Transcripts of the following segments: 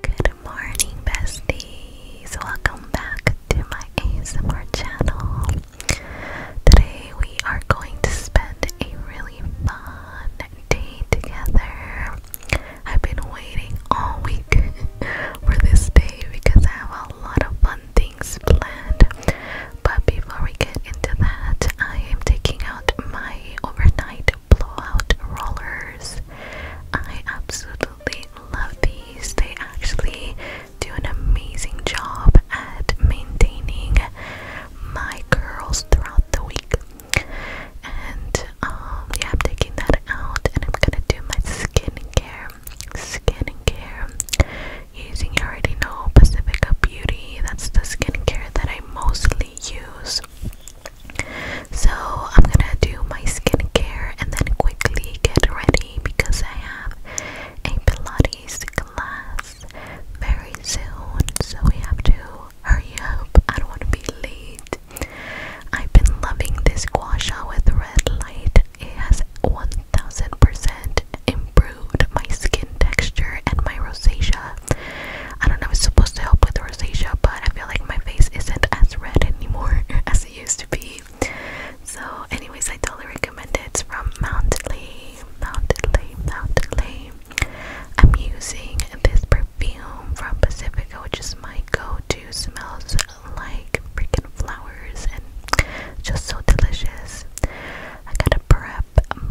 Good morning, besties. Welcome back to my ASMR channel. Today, we are going to spend a really fun day together. I've been waiting all week for this day because I have a lot of fun things planned. But before we get into that, I am taking out my overnight blowout rollers. I absolutely love these. They actually do an amazing job at maintaining my curls throughout the week. And um, yeah, I'm taking that out and I'm gonna do my skin skincare. care using, you already know, Pacifica Beauty. That's the skin care that I mostly use. So I'm gonna do my skincare and then quickly get ready because I have a Pilates class very soon. So we have to hurry up. I don't want to be late. I've been loving this gua with red light. It has 1000% improved my skin texture and my rosacea I don't know, it's supposed to help with rosacea, but I feel like my face isn't as red anymore as it used to be. So, anyways, I totally recommend it. It's from Mountley, Mountley, Mountley. I'm using this perfume from Pacifica, which is my go-to. Smells like freaking flowers and just so delicious. I got a pro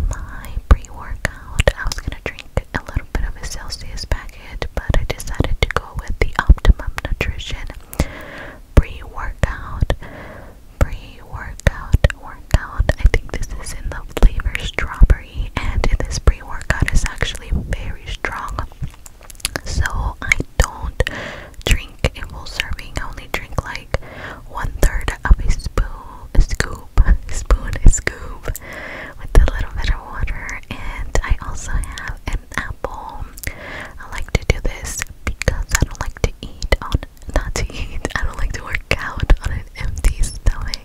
my pre-workout. I was gonna drink a little bit of a Celsius packet, but I decided to go with the Optimum Nutrition pre-workout. Pre-workout workout. I think this is in the flavor strawberry, and this pre-workout is actually very strong. So I don't drink a full serving. I only drink like one third of a spoon, a scoop spoon, scoop with a little bit of water. And I also have an apple. I like to do this because I don't like to eat on not to eat. I don't like to work out on an empty stomach.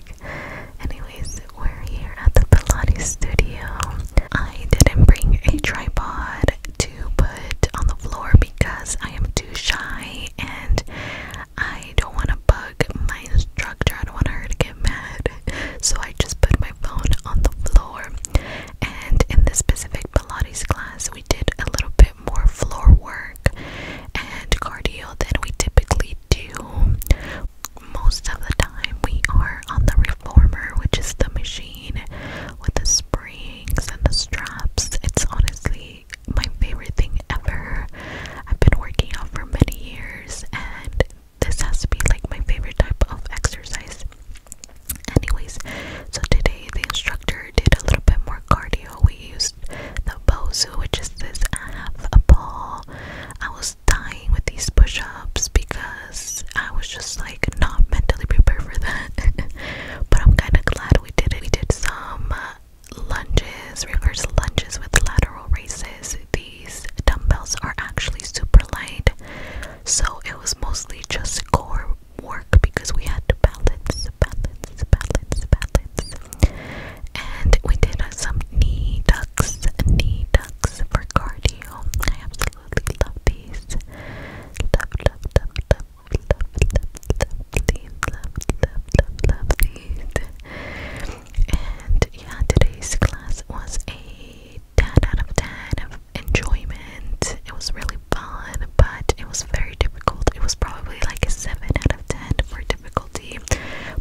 Anyways, we're here at the Pilates studio. I didn't bring a tripod to put on the floor because I am too shy and I don't want to bug my instructor. I don't want her to get mad. So I just put my phone on the floor. And in this specific Pilates class, we did a little bit more floor work and cardio than we typically do. Most of the time, we are on the reformer, which is the machine with the springs and the straps. It's honestly my favorite thing ever. I've been working out for many years and this has to be like my favorite type of exercise. Anyways, so today the instructor did a little bit more cardio. We used the Bosu, which is this half a ball. I was dying with these push ups because I was just like not mentally prepared for that. but I'm kind of glad we did it. We did some uh, lunges, reverse lunges with lateral raises. These dumbbells are actually super light, so it was mostly just core work because we had to balance, balance, balance, balance. And we did uh, some knee ducks, knee ducks for cardio. I absolutely love these. love, love, love, love, love, love, love, love, love, love, love, love these. And yeah, today's class was a 10 out of 10 of enjoyment. It was really fun, but it was very difficult. It was probably like a 7 out of 10 for difficulty.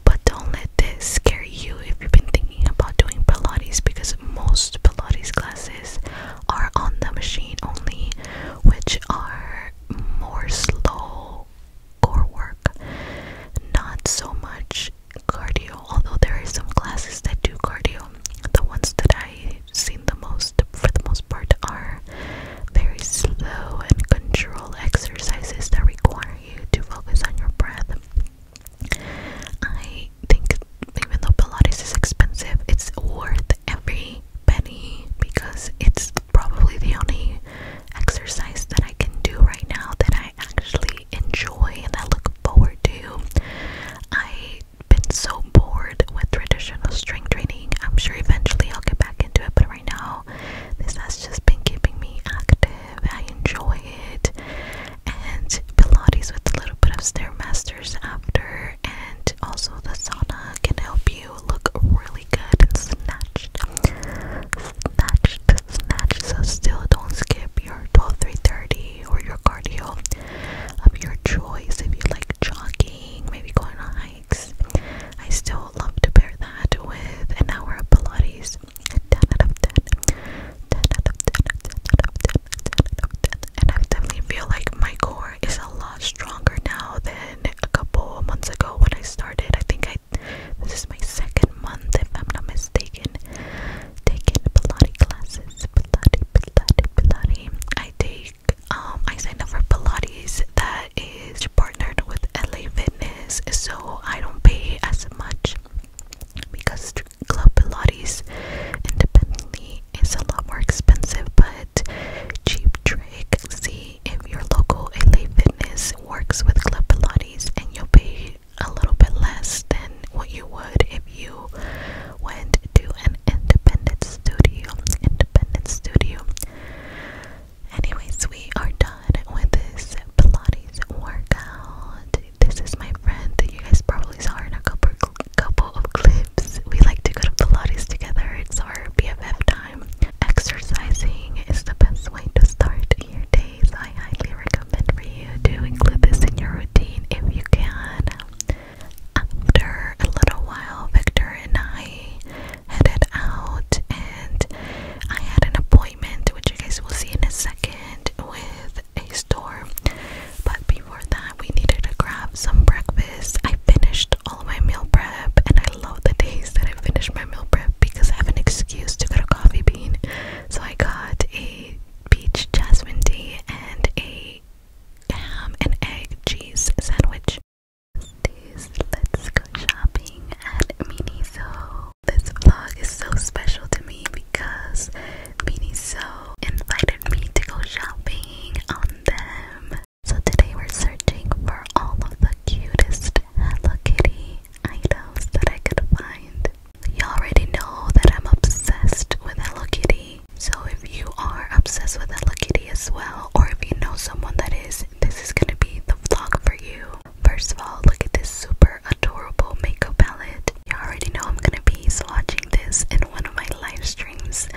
But don't let this scare you if you've been thinking about doing Pilates because most Pilates classes are on the machine only, which are more slow core work, not so much cardio, although there are some classes that do cardio. The ones that i see the most, for the most part, are very slow and controlled exercises that require you to focus on your breath. I think even though Pilates is expensive, it's worth every penny because it's probably the only exercise that I can do right now that I actually enjoy and I look forward to. I've been so bored with traditional strength training. I'm sure eventually I'll get back into it, but right now, this has just been keeping me active. I enjoy it. And Pilates with a little bit of stair masters after, and also the sauna can help you look really good and snatch snatched, snatched, So still, don't skip your 12, 3:30 or your cardio of your choice. If you like jogging, maybe going on hikes, I still love to pair that with an hour of Pilates. And I definitely feel like my core is a lot stronger now than a couple months ago when I started. I think I this is my second month, if I'm not mistaken, taking Pilates classes. Pilates, Pilates, Pilates. I take, um, I signed up for Pilates that is partnered with LA Fitness, so I don't pay as much because Club Pilates independently is a lot more expensive, but cheap trick. See if your local LA Fitness works with Club Pilates and you'll pay a little bit less than what you would if you went to an independent studio. Independent studio. Anyways, we are done with this Pilates workout. This is my friend that you guys probably saw in a couple couple of clips. We like to go to Pilates together. It's our BFF time. Exercising is the best way to start your days. I highly recommend for you to include this in your routine if you can. After a little while, Victor and I headed out, and I had an appointment, which you guys will see in a second, with a store. But before that, we needed to grab some breakfast. I finished all my meal prep and I love the days that I finish my meal prep because I have an excuse to get a Coffee Bean. So I got a peach jasmine tea and a ham and egg cheese sandwich. Today's let's go shopping at Miniso. This vlog is so special to me because Miniso invited me to go shopping on them. So today we're searching for all of the cutest Hello Kitty items that I could find. You already know that I'm obsessed with Hello Kitty. So if you are obsessed with Hello Kitty as well, or if you know someone that is, this is gonna be the vlog for you. First of all, look at this super adorable makeup palette. You already know I'm gonna be swatching this in one of my live streams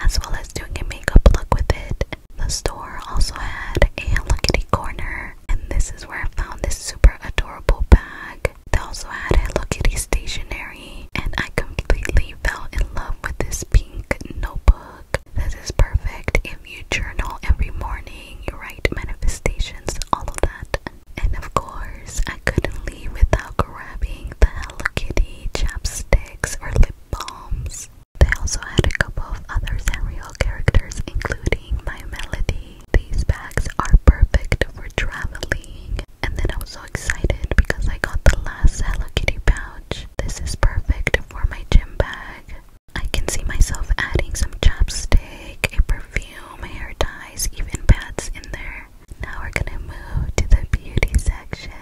as well as doing a makeup look with it the store also had a Hello Kitty corner, and this is where I found this super adorable bag. They also had Hello Kitty stationery, and I completely fell in love with this pink notebook. This is perfect if you journal every morning, you write manifestations, all of that. And of course, I couldn't leave without grabbing the Hello Kitty chapsticks or lip balms. They also had a couple of other Sanrio characters, including My Melody. These bags are perfect for traveling. And then I was so excited because I got the last Hello Kitty pouch. This is perfect for my gym bag. I can see myself adding some chapstick, a perfume, hair ties, even pads in there. Now we're gonna move to the beauty section.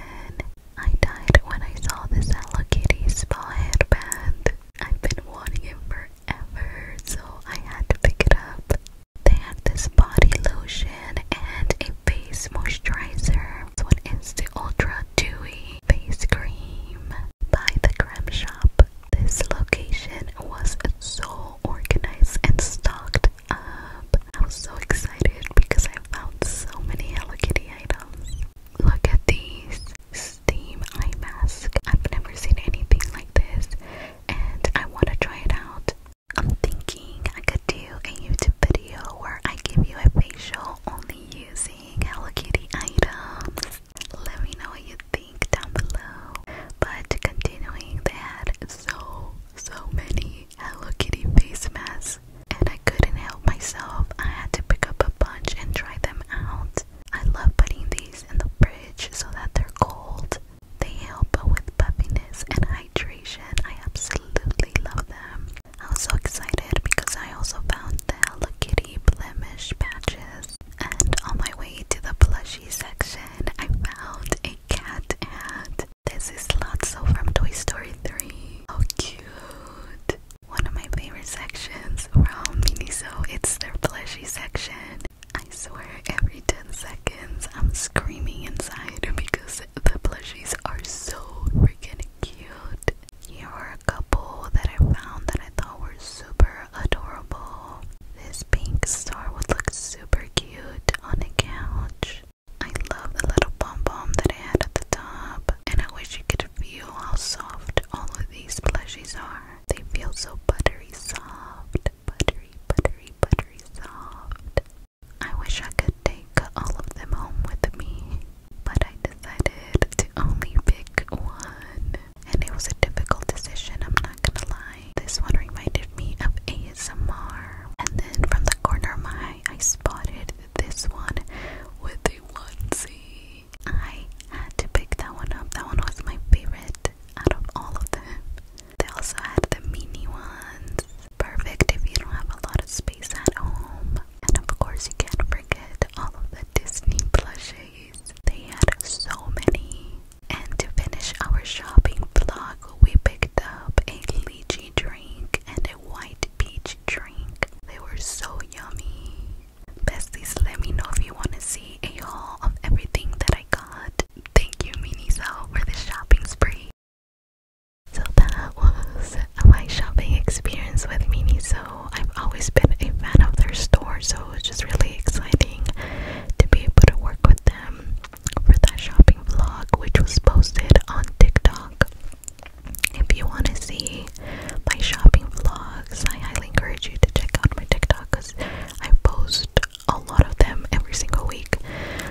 I died when I saw this Hello Kitty spa headband. I've been wanting it forever, so I had to pick it up. They had this body lotion and a face moisturizer. This one the Ultra Dewy Face Cream by the Creme Shop. This location was so organized and stocked up. I was so excited because I found so many Hello Kitty items. Look at these steam eye mask. I've never seen anything like this and I want to try it out. I'm thinking I could do a YouTube video where I give you a facial only using Hello Kitty items. Let me know what you think down below. But continuing, they had so, so many Hello Kitty face masks and I couldn't help myself. I had to pick up a bunch and try them out. I love putting these in the fridge so that they're cold. They help with puffiness and hydration. I absolutely love them. I was so excited because I also found the Hello Kitty blemish patches. And on my way to the plushie section, I found a cat hat. This is Lotso from Toy Story 3. How cute! One of my favorite sections from Miniso, it's their plushie section. I swear every 10 seconds I'm screaming inside because the plushies are so freaking cute. Here are a couple that I found that I thought were super adorable. This pink star would look super cute on a couch. I love the little pom pom that I had at the top, and I wish you could feel how soft all of these plushies are. They feel so buttery soft, buttery, buttery, buttery soft. I wish I could take all of them home with me, but I decided to only pick one. And it was a difficult decision, I'm not gonna lie. This one reminded me of ASMR. And then from the corner of my eye, I spotted this one with a onesie. I had to pick that one up. That one was my favorite out of all of them. They also had the mini ones. Perfect if you don't have a lot of space at home. And of course, you can't forget all of the Disney plushies. They had so many. And to finish our shopping vlog, we picked up a lychee drink and a white peach drink. They were so yummy. Besties, let me know if you want to see a haul of everything that I got. Thank you, Miniso, for the shopping spree. So that was my shopping experience with Miniso. I've always been a fan of their store, so it's just really exciting to be able to work with them for that shopping vlog, which was posted on TikTok. If you want to see my shopping vlogs. I highly encourage you to check out my TikTok because I post a lot of them every single week.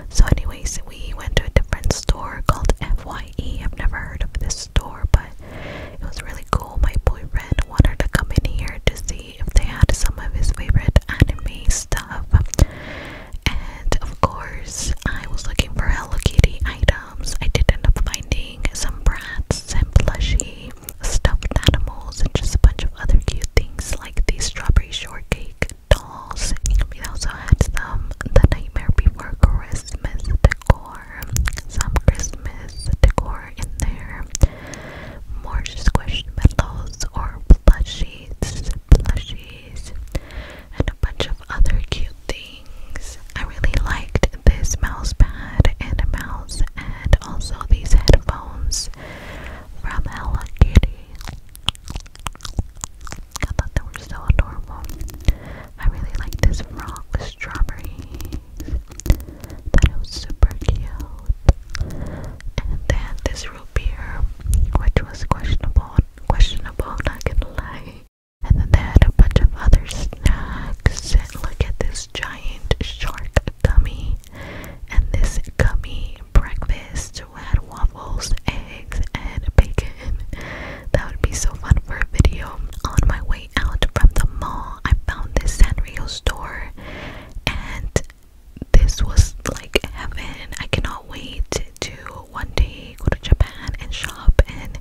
So, anyways, we went to a different store called FYE. I've never heard of this store, but it was really cool. My boyfriend wanted to come in here to see if they had some of his favorite anime stuff. And of course, I was looking for Hello Kitty items. I did end up finding some brats and plushie stuffed animals, and just a bunch of other cute things like the strawberry shortcake dolls. We also had some The Nightmare Before Christmas decor, some Christmas decor in there, more squished pillows or plushies, plushies, and a bunch of other cute things. I really liked this mousepad and mouse and also these headphones from Hello Kitty. I thought they were so adorable. I really like this frog with That was super cute. And then this root beer, which was questionable, questionable, not gonna lie. And then they had a bunch of other snacks. look at this giant shark gummy, and this gummy breakfast had waffles, eggs, and bacon. That would be so fun for a video. On my way out from the mall, I found this Sanrio store, and this was like heaven. I cannot wait to one day go to Japan and shop and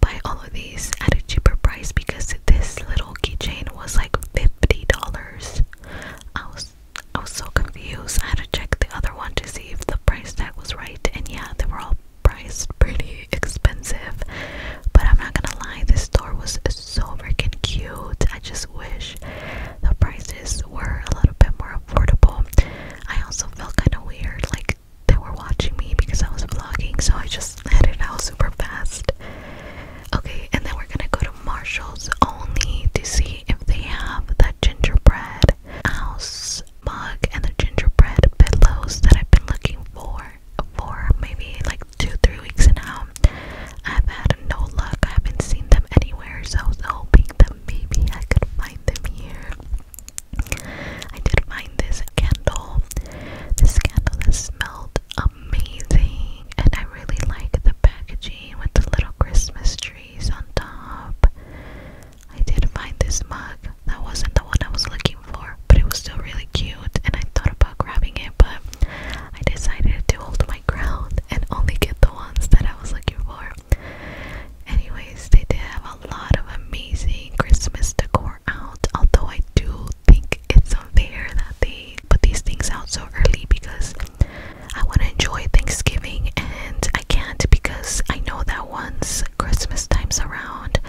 buy all of these at a cheaper price because this little keychain was like $50. I was I was so confused. I had to check the other one to see if the price tag was right. And yeah, they were all priced pretty expensive. But I'm not gonna lie, this store was so freaking cute. I just wish the prices were a little bit more affordable. I also felt kind of weird, like they were watching me because I was vlogging, so I just just let it out super fast. Okay, and then we're gonna go to Marshall's only to see if they have that gingerbread house mug and the gingerbread pillows that I've been looking for for maybe like two, three weeks now. I've had no luck, I haven't seen them anywhere, so I was hoping that maybe I could find them here. I did find this candle. This candle that smelled amazing, and I really like the packaging with the little Christmas trees on top. I did find this mug. That wasn't the one I was looking for, but it was still really cute, and I thought about grabbing it, but I decided to hold my ground and only get the ones that I was looking for. Anyways, they did have a lot of amazing Christmas decor out. Although I do think it's unfair that they put these things out so early because I want to enjoy Thanksgiving and I can't because I know that once Christmas time's around,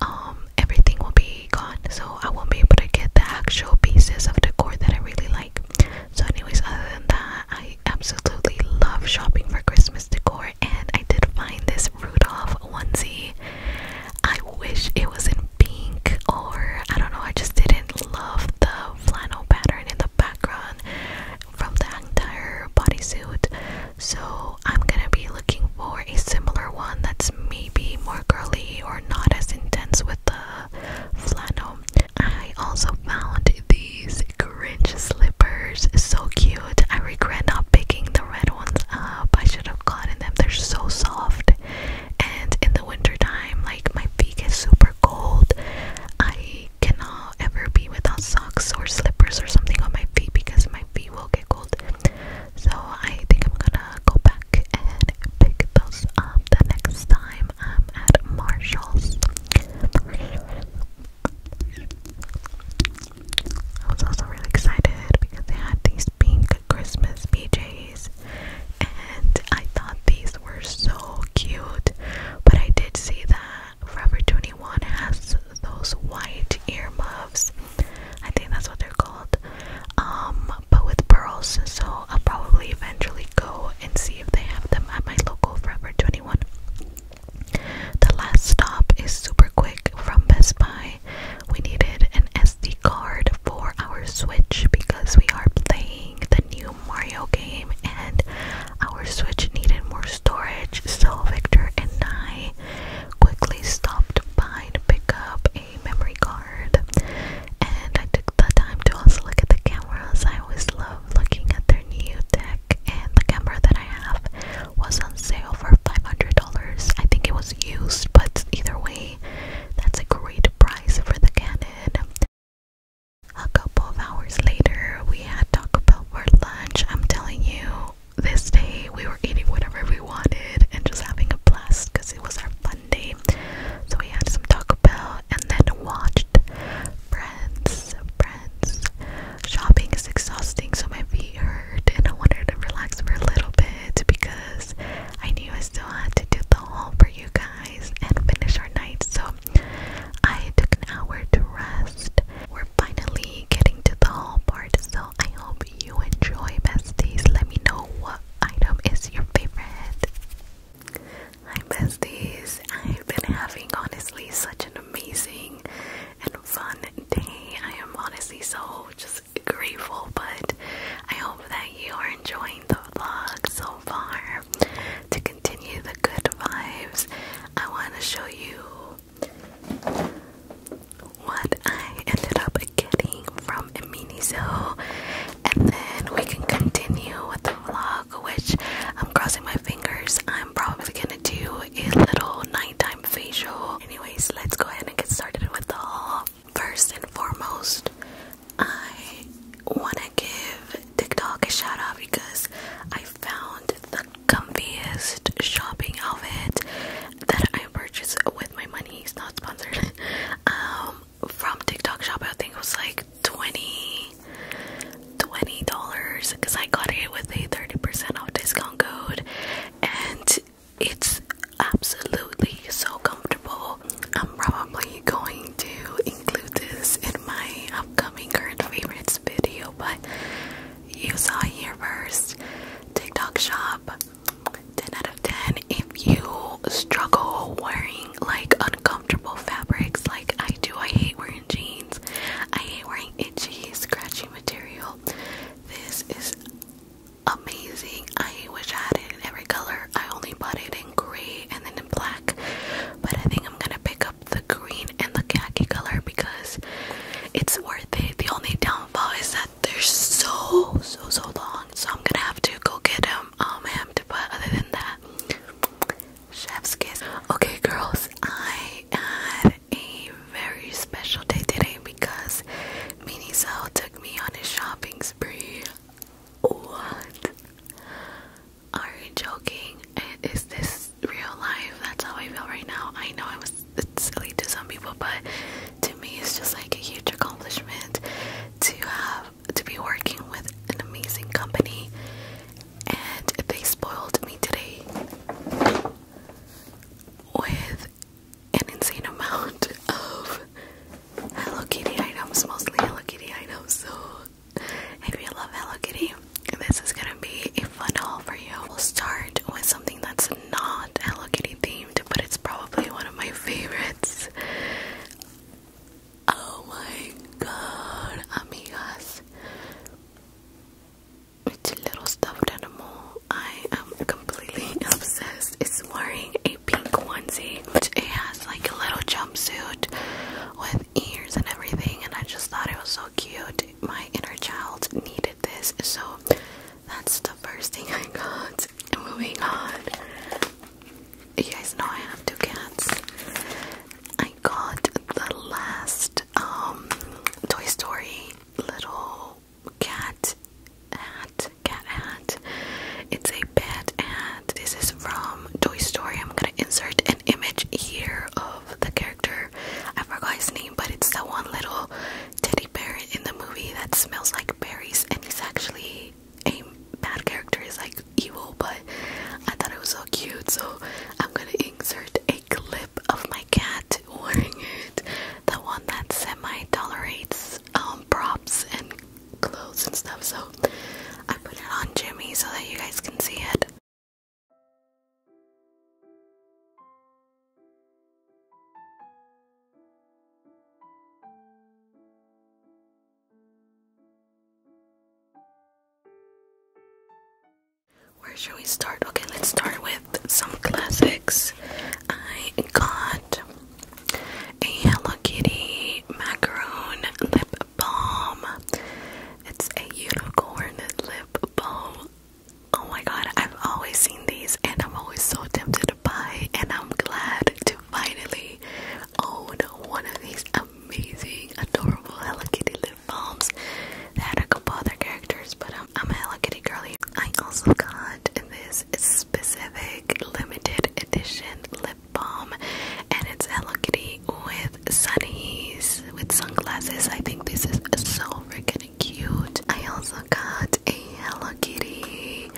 um, everything will be gone. So I won't be able to get the actual pieces of decor that I really like. So, anyways, other than that, I absolutely love shopping for Christmas decor and I did find this Rudolph onesie. I wish it was in pink or I don't know, I just didn't love the flannel pattern in the background from the entire bodysuit. So I'm gonna be looking for a similar one that's maybe more girly or not as intense with the flannel. I also found these cringe slippers so cute. I regret not picking the red ones up. I should have gotten them. They're so soft and in the wintertime, like my feet get super cold I cannot ever be without socks or slippers or something on my feet because my feet will get cold so I think I'm gonna go back and pick those up the next time I'm at Marshall's I was also really excited because they had these pink Christmas PJs, and I thought these were so cute. But I did see that Forever 21 has those white earmuffs. I think that's what they're called. Um, but with pearls, so I'll probably eventually go and see if they have them at my local Forever 21. The last stop is super quick from Best Buy we needed an SD card for our Switch because we are playing the new Mario game and our Switch needed more storage. So Victor and I quickly stopped by to pick up a memory card. And I took the time to also look at the cameras. I always love looking at their new tech and the camera that I have was on sale for $500. I think it was used, but either way, that's a great price for the cannon. A couple of hours later, we had Taco Bell for lunch. I'm telling you, this day we were eating whatever we wanted and just having a blast because it was our fun day. So we had some Taco Bell and then watched Friends. Friends. Shopping is exhausting, so my feet hurt, and I wanted to relax for a little bit because I knew I still had to do the haul for you guys and finish our night, so I took an hour to rest. We're finally getting to the haul part, so I hope you enjoy, besties. Let me know what item is your favorite. Hi, besties. I've been having honestly such an amazing and fun day. I am honestly so just grateful, but I hope that you are enjoying the vlog so far. To continue the good vibes, I want to show you what I ended up getting from Miniso, and then we can continue with the vlog, which I'm crossing my fingers. I'm probably gonna do a little nighttime facial. Anyways, let's go ahead and get started with the haul. First and foremost, I want to give TikTok a shout out because I found the comfiest shopping outfit that I purchased with my money. It's not sponsored. um, from TikTok shop, I think it was like 20 $20 because I got it with a 30% off discount code and it's absolutely so comfortable. I'm probably going to include this in my upcoming current favorites video, but you saw here first TikTok shop 10 out of 10 if you struggle wearing like uncomfortable fabrics like I do. I hate wearing jeans. I hate wearing itchy, scratchy material. This is amazing. I wish I had it in every color. I only bought it in gray and then in black, but I think I'm gonna pick up the green and the khaki color because it's worth it. The only downfall is that they're so so so long, so I'm gonna have to go get them all um, hemmed. But other than that, chef's kiss. Okay, girls, I had a very special day today because Miniso took me on a shopping spree. What? Are you joking? Is this real life? That's how I feel right now. I know I was silly to some people, but to me, it's just like a huge accomplishment to have to be working with an amazing company. And they spoiled me today with an insane amount of Hello Kitty items, mostly Hello Kitty items. So if you love Hello Kitty, this is gonna be a fun haul for you. We'll start with something that's not Hello Kitty themed, but it's probably one of my favorites. Oh my god, amigas. It's little stuffed animal. I am completely obsessed. It's wearing a pink onesie. It has like a little jumpsuit with ears and everything, and I just thought it was so cute. My inner child needed this, so that's the first thing I got. Moving on, you guys know I have two cats. I got the last um Toy Story little cat hat, cat hat. It's a pet hat. This is from Toy Story. I'm gonna insert an image here of the character. I forgot his name, but it's the one little teddy bear in the movie that smells like berries, and he's actually a bad character. He's like evil, but I thought it was so cute, so I'm gonna insert a clip of my cat wearing it. The one that semi tolerates um, props and clothes and stuff, so I put it on Jimmy so that you guys can see it. Where should we start? Okay, let's start with some classics. I got a Hello Kitty macaron lip balm. It's a unicorn lip balm. Oh my god, I've always seen these and I'm always so tempted to buy and I'm glad to finally own one of these amazing, adorable Hello Kitty lip balms that had a couple other characters, but I'm a Hello Kitty girl. I also got this specific limited edition lip balm, and it's Hello Kitty with sunnies with sunglasses. I think this is so freaking cute. I also got a Hello Kitty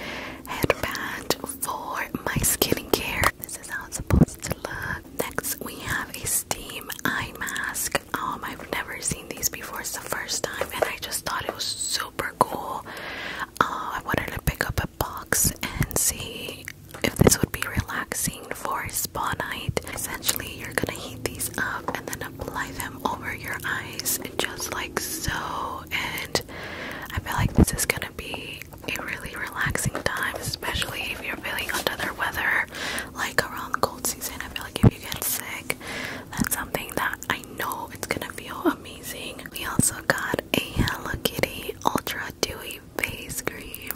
headband for my skincare. This is how it's supposed to look. Next, we have a steam eye mask. Um, I've never seen these before. It's the first time, and I just thought it was super cool. Oh, I wanted to pick up a box and see if this would be relaxing for a spa night. Essentially, you're gonna heat these up and then apply them over your eyes, just like so. And I feel like this is gonna be a really relaxing time, especially if you're feeling under the weather, like around cold season. I feel like if you get sick, that's something that I know it's gonna feel amazing. We also got a Hello Kitty Ultra Dewy Face Cream.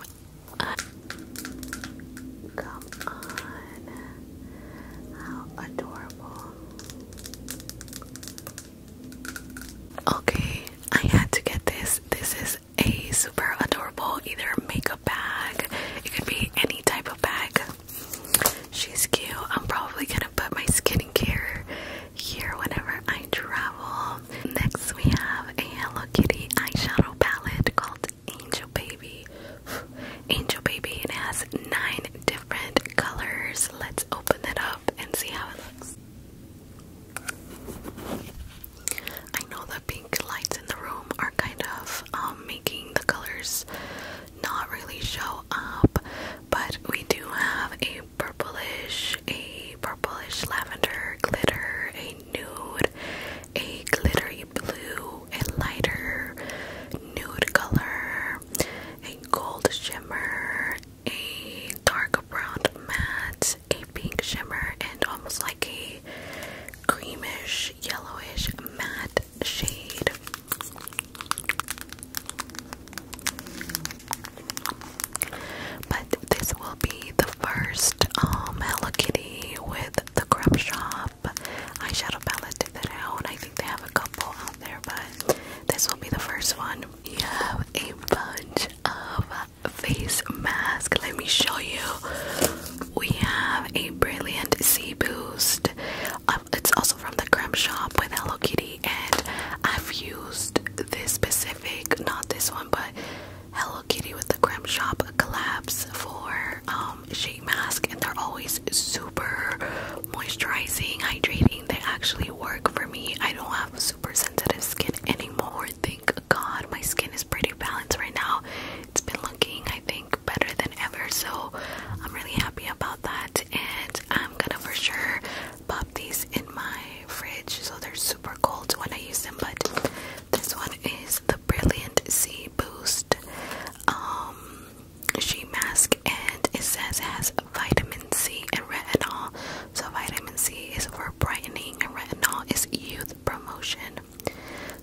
come on. How adorable. Okay, I had to get this. This is a super adorable either makeup bag. It could be any type of bag She's cute. I'm probably gonna put my skincare here whenever I travel. Next, we have a Hello Kitty eyeshadow palette called Angel Baby. Angel Baby, it has nine different colors. Let's open it up and see how it looks. I know the pink lights in the room are kind of um, making the colors not really show up, but we do have a purplish, a purplish lavender glitter, a nude, a glittery blue, a lighter nude color, a gold shimmer, a dark brown matte, a pink shimmer, and almost like a creamish, yellowish matte shade. But this will be the first um, Hello Kitty with the Crop Shop eyeshadow palette that I own. I think they have a couple out there, but this will be the first one. You have a bunch of face masks. Let me show you. We have a Brilliant Sea Boost, it's also from the creme shop with Hello Kitty, and I've used this specific, not this one, but Hello Kitty with the creme shop collabs for um, sheet mask, and they're always super moisturizing, hydrating. They actually work for me. I don't have super sensitive skin anymore. Thank God, my skin is pretty balanced right now. It's been looking, I think, better than ever, so I'm really happy about that. And I'm gonna for sure pop these in my fridge so they're super cold when I use them. But this one is the Brilliant C Boost um, Sheet Mask, and it says it has vitamin C and retinol. So, vitamin C is for brightening, and retinol is youth promotion.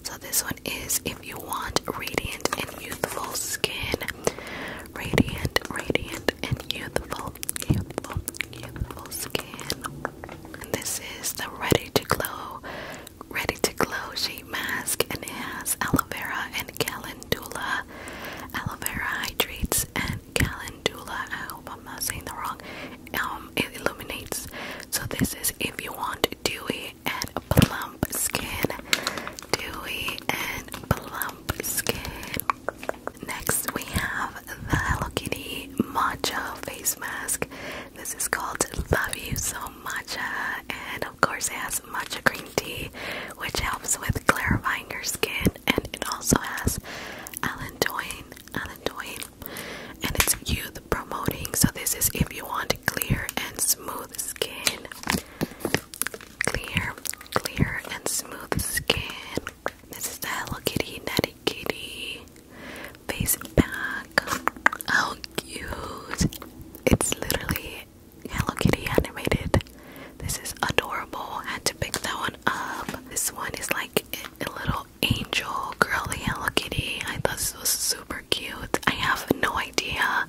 So, this one is if you want radiant and youthful skin radiant, radiant, and youthful, youthful, youthful skin. this is the Ready to Glow, Ready to Glow sheet mask, and it has aloe vera and calendula. Aloe vera hydrates and calendula. I hope I'm not saying the wrong. Um, it illuminates. So this is if you want dewy and plump skin dewy and plump skin. Next, we have the Hello Kitty Matcha Face Mask. This is called Love You So Matcha, and of course, has matcha green tea, which helps with clarifying your skin, and it also has allantoin, allantoin, and it's youth promoting. So, this is if you want clear and smooth skin. Clear, clear and smooth skin. This is the Hello Kitty Natty Kitty face pack. How oh, cute! It's literally Hello Kitty animated. This is adorable. And to pick that one up. This one is like a little angel girly Hello Kitty. I thought this was super cute. I have no idea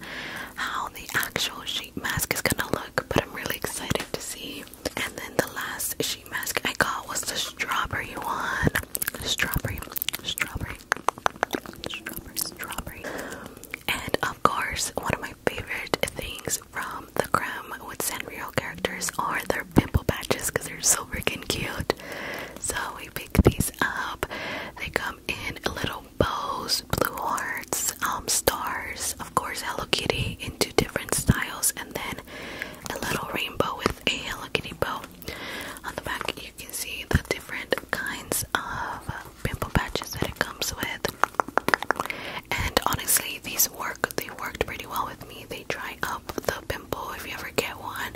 how the actual shape mask is gonna look, but I'm really excited to see. And then the last sheet mask I got was the strawberry one. Strawberry, strawberry, strawberry, strawberry. And of course, one of my favorite things from the Creme with Sanrio characters are their pimple patches because they're so freaking cute. So we picked these up. They come in a little bows, blue hearts, um, stars, of course, Hello Kitty in two different styles, and then a little rainbow with a Hello Kitty bow. On the back, you can see the different kinds of pimple patches that it comes with. And honestly, these work, they worked pretty well with me. They dry up the pimple if you ever get one,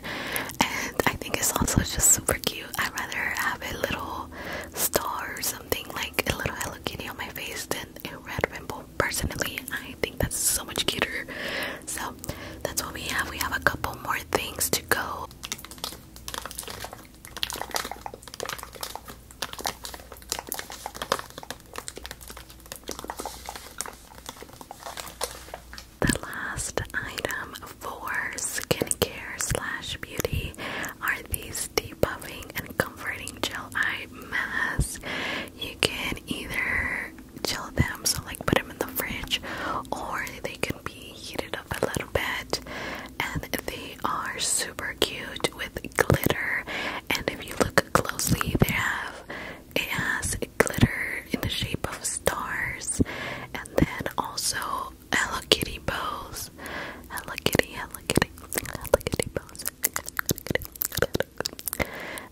and I think it's also just super cute. I'd rather have a little star or something like a little Hello Kitty on my face than a red rainbow. Personally, I think that's so much cuter. So that's what we have. We have a couple more things to go. The last item for skincare slash beauty are these this debuffing and comforting gel eye mask. You can either chill them, so like put them in the fridge, or they can be heated up a little bit. And they are super cute with glitter. And if you look closely, they have it has glitter in the shape of stars, and then also Hello Kitty bows pose. Hello Kitty, Hello Kitty, Hello Kitty pose.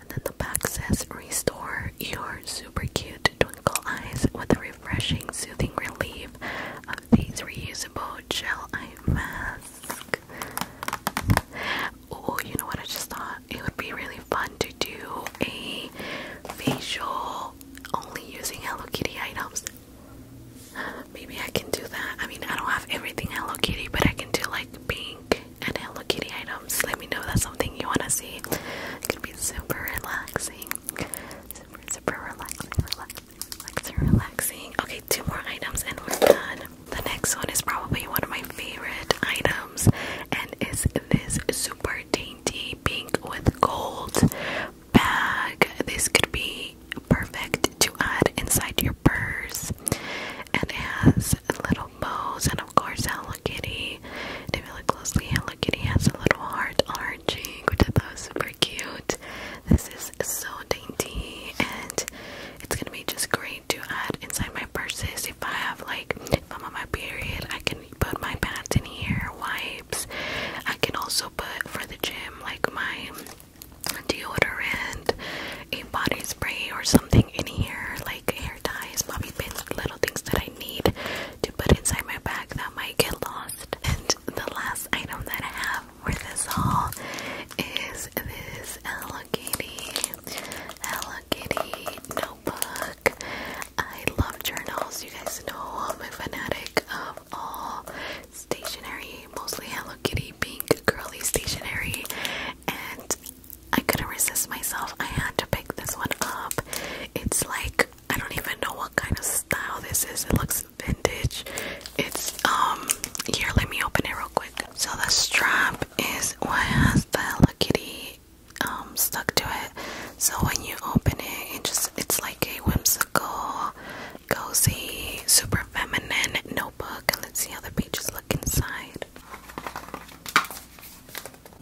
And then the back says, Restore your super cute twinkle eyes with a refreshing, soothing relief of these reusable gel eye mask. Oh, you know what? I just thought it would be really fun to do a facial only using Hello Kitty items. Maybe I can do that. I mean, I don't have everything Hello Kitty, but I can do like pink and Hello Kitty items. Let me know that's something you want to see. It could be super relaxing. Super, super relaxing, relaxing, relaxing, relaxing. Okay, two more items and we're done. The next one is probably one of my favorite items and is this super dainty pink with gold bag. This could be perfect to add inside your purse. And has little bows, and of course, Hello Kitty. And if you look closely, Hello Kitty has a little heart on which I thought was super cute. This is so dainty, and it's gonna be just great to add inside my purses. If I have, like, if I'm on my period, I can put my pads in here, wipes. I can also put for the gym, like my deodorant, a body spray, or something in here, like hair ties, bobby pins, little things that I need to put inside my bag that might get lost. And the last item that I have for this haul is this Hello Kitty, Hello Kitty notebook. I love journals. You guys know I'm a fanatic of all stationery, mostly Hello Kitty pink curly stationery, and I couldn't resist myself. I had to pick this one up. It's like I don't even know what kind of style this is. It looks vintage. It's um here. Let me open it real quick. So the strap is what has the Hello Kitty um stuck to it. So when you open it, it just it's like a whimsy whimsical, cozy, super feminine notebook. and Let's see how the pages look inside.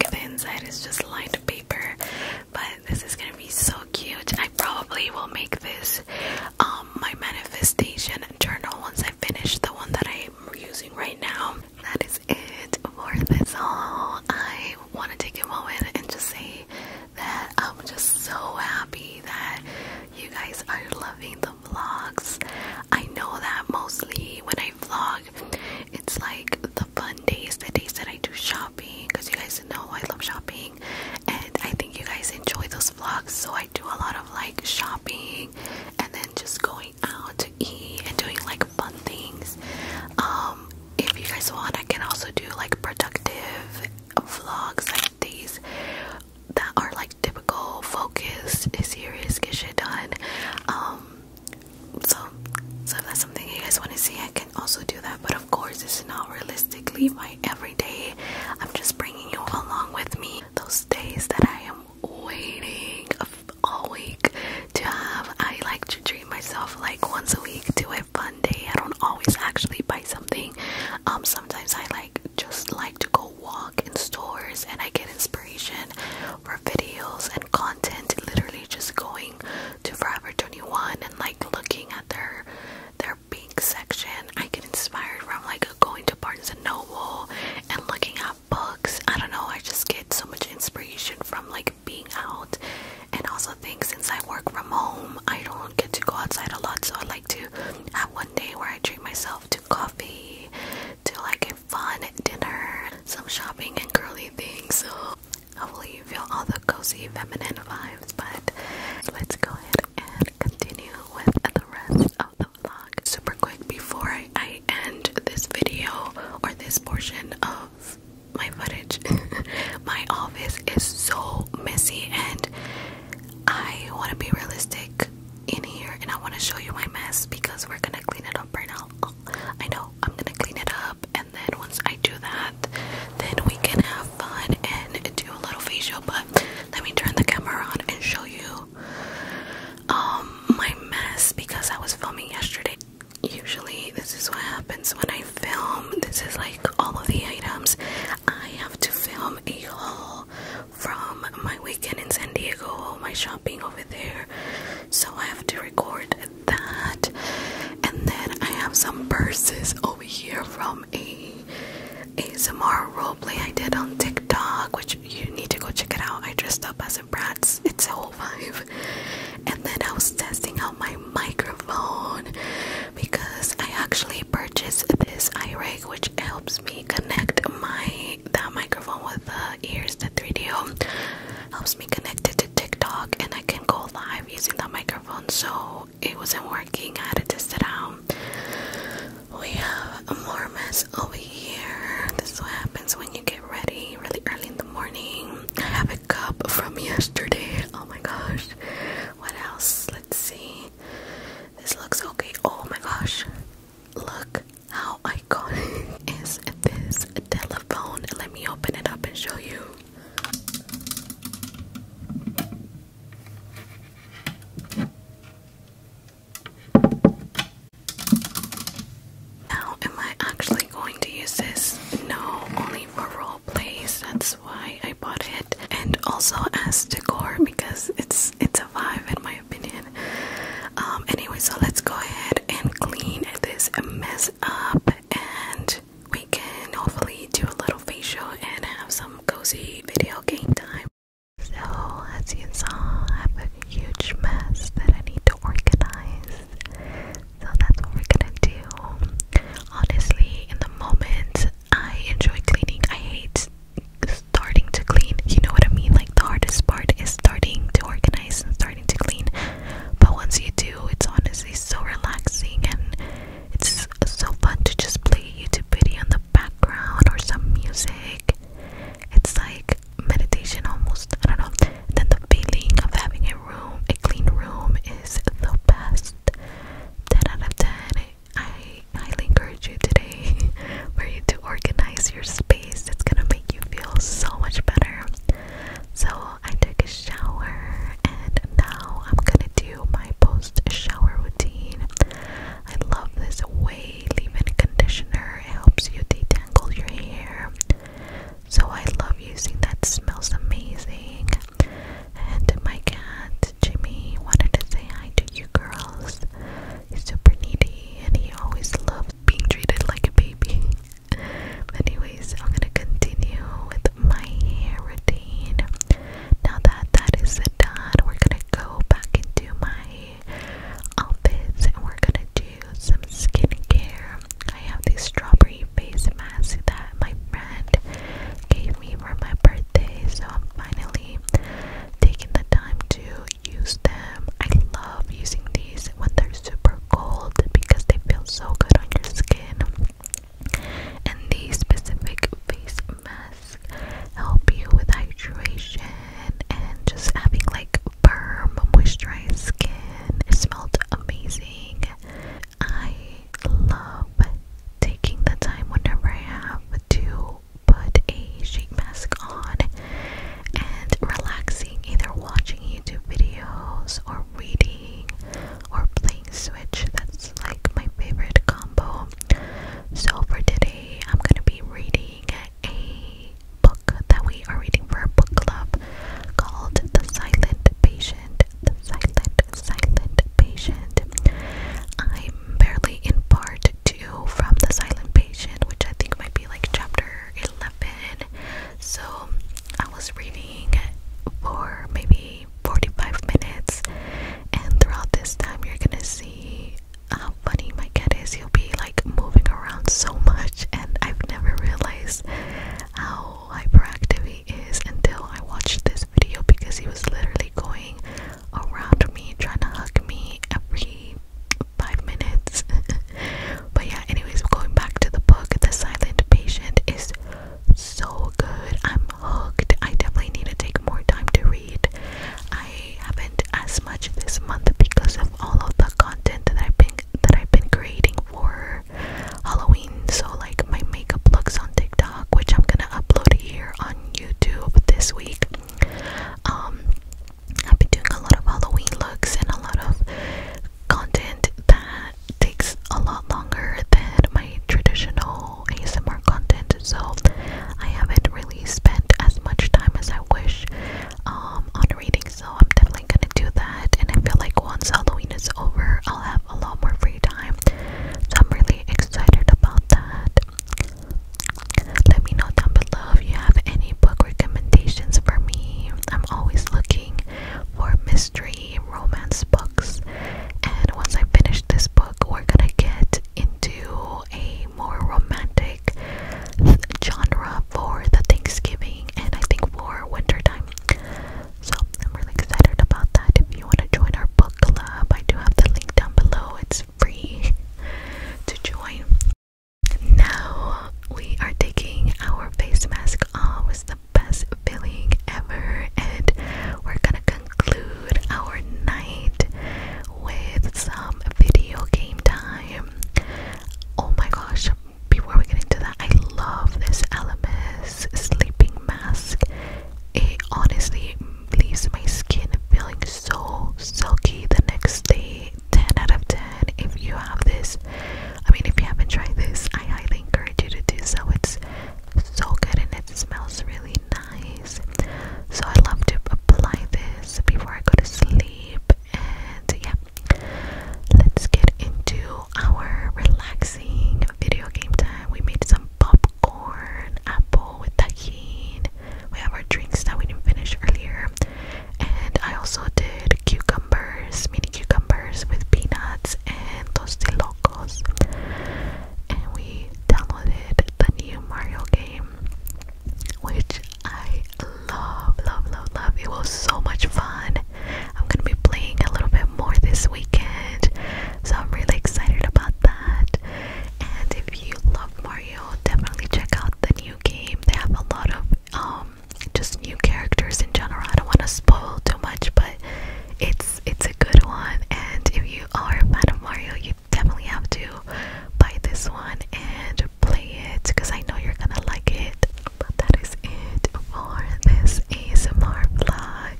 The inside is just lined paper, but this is gonna be so cute. I probably will make this um, my manifestation journal once I finish the one that I'm using right now. That is it for this haul. I want to take a moment and just say that I'm just so happy that you guys are loving the vlogs. I know that mostly when I vlog, it's like the fun days, the days that I do shopping, because you guys know I love shopping, and I think you guys enjoy those vlogs. So I do a lot of like shopping and then just going out to eat and doing like fun things. Um, if you guys want, I can also do like productive vlogs like these that are like typical focused, serious, get shit done. Um, so, so if that's something you guys want to see, I can also do that. But of course, it's not realistically my everyday. I'm just bringing you along with me. Those days that I am waiting all week to have, I like to treat myself like once a week to a fun day. I don't always actually buy something. Um, sometimes I like just like to go walk in stores and I get inspiration for videos and content literally just going to Forever 21 and like looking at their their pink section. I get inspired from like going to Barnes and Noble and looking at books. I don't know, I just get so much inspiration from like being out and also think since I work from home I don't get to go outside a lot so I like to have one day where I treat myself to coffee, to like a fun dinner, some shopping and girly things. So hopefully you feel all the cozy feminine vibes. But let's go ahead and continue with the rest of the vlog. Super quick before I end this video or this portion of my footage. my office is so messy and I want to be realistic in here and I want to show you my mess because we're gonna clean it up right now. I know I'm gonna clean it up, and then once I do that, then we can have fun and do a little facial. But let me turn the camera on and show you um, my mess because I was filming yesterday. Usually, this is what happens when I film. This is like all of the items I have to film a whole from my weekend in San Diego, all my shopping over there. So I have to record that. And then I have some verses over here from a ASMR roleplay I did on TikTok, which you need to go check it out. I dressed up as a brat. It's a whole vibe. And then I was testing out my microphone because I actually purchased this eye rig which helps me connect my that microphone with the ears, the 3 d helps me connect it to TikTok and I can go live using that microphone so it wasn't working. I had to test it out. We have a more mess over here. This is what happens when you get ready really early in the morning. I have a cup from yesterday. Oh my gosh. What else? Let's see. This looks okay. Oh my gosh. Look how iconic is this telephone. Let me open it up and show you. Now, am I actually going to use this? No, only for role plays. That's why I bought it, and also as decor because it's it's a vibe in my opinion. Um, anyway, so let's go ahead and clean this mess up, and we can hopefully do a little facial and have some cozy video game time. So, as you saw, I have a huge mess that I need to organize. So, that's what we're gonna do. Honestly, in the moment, I enjoy cleaning. I hate starting to clean. You know what I mean? Like the hardest part is starting to organize and starting to clean. But once you do, it's honestly so relaxing and it's so fun to just play a YouTube video in the background or some music. It's like meditation almost. I don't know. then the feeling of having a room, a clean room, is the best. 10 out of 10. I highly encourage you today for you to organize your space. It's gonna make you feel so much better. So I took a shower and now I'm gonna do my post shower routine. I love this way leave-in conditioner. It helps you detangle your hair. So I love using that. Smells amazing. And my cat, Jimmy, wanted to say hi to you girls. He's super needy and he always loves being treated like a baby. Anyways, I'm gonna continue with my hair routine. Now that that is done, we're gonna go back into my outfits and we're gonna do some skincare. I have this strawberry face mask that my friend gave me for my birthday, so I'm finally taking the time to use them. I love using these when they're super cold because they feel so good on your skin. And these specific face masks help you with hydration and just having like firm, moisturized skin. It smelled amazing. I love taking the time whenever I have to put a sheet mask on and relaxing, either watching YouTube videos or reading or playing Switch. That's like my favorite combo. So for today, I'm gonna be reading a book that we are reading for a book club called The Silent Patient. The Silent Silent Patient. I'm barely in part two from The Silent Patient, which I think might be like chapter 11. So I was reading for maybe 45 minutes, and throughout this time, you're gonna see how funny my cat is. He'll be like moving around so much, and I've never realized how hyperactive he is until I watched this video because he was literally going around me, trying to hug me every five minutes. but yeah, anyways, going back to the book, The Silent Patient is so good. I'm hooked. I definitely need to take more time to read. I haven't as much this month because of all of the content that I've that I've been creating for Halloween. So like my makeup looks on TikTok which I'm gonna upload here on YouTube this week. Um, I've been doing a lot of Halloween looks and a lot of content that takes a lot longer than my traditional ASMR content, so I haven't really spent as much time as I wish um, on reading. So I'm definitely gonna do that, and I feel like once Halloween is over, I'll have a lot more free time. So I'm really excited about that. Let me know down below if you have any book recommendations for me. I'm always looking for mystery romance books. And once I finish this book, we're gonna get into a more romantic genre for the Thanksgiving and I think for wintertime. So I'm really excited about that. If you want to join our book club, I do have the link down below. It's free to join. Now we are taking our face mask off. with the best feeling ever, and we're gonna conclude our night with some video game time. Oh my gosh! Before we get into that, I love this LMS sleeping mask. It honestly leaves my skin feeling so silky the next day. 10 out of 10. If you have this, I mean, if you haven't tried this, I highly encourage you to do so. It's so good and it smells really nice. So, I love to apply this before I go to sleep. And yeah, let's get into our relaxing video game time. We made some popcorn, apple with tahine. We have our drinks that we didn't finish earlier. And I also did cucumbers, mini cucumbers with peanuts and tostilocos. And we downloaded the new Mario game, which I love, love, love, love. It was so much fun. I'm gonna be playing a little bit more this weekend, so I'm really excited about that. And if you love Mario, definitely check out the new game. They have a lot of um just new characters in general. I don't want to spoil too much, but it's it's a good one. And if you are a fan of Mario, you definitely have to buy this one and play it because I know you're gonna like it. But that is it for this ASMR vlog.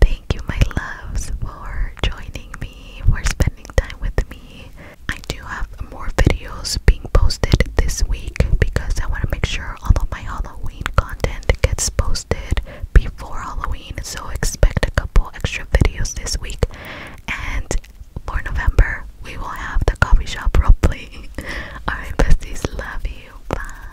Thank Thank you, my loves, for joining me, for spending time with me. I do have more videos being posted this week because I want to make sure all of my Halloween content gets posted before Halloween. So expect a couple extra videos this week. And for November, we will have the coffee shop Probably. Alright, besties, love you. Bye.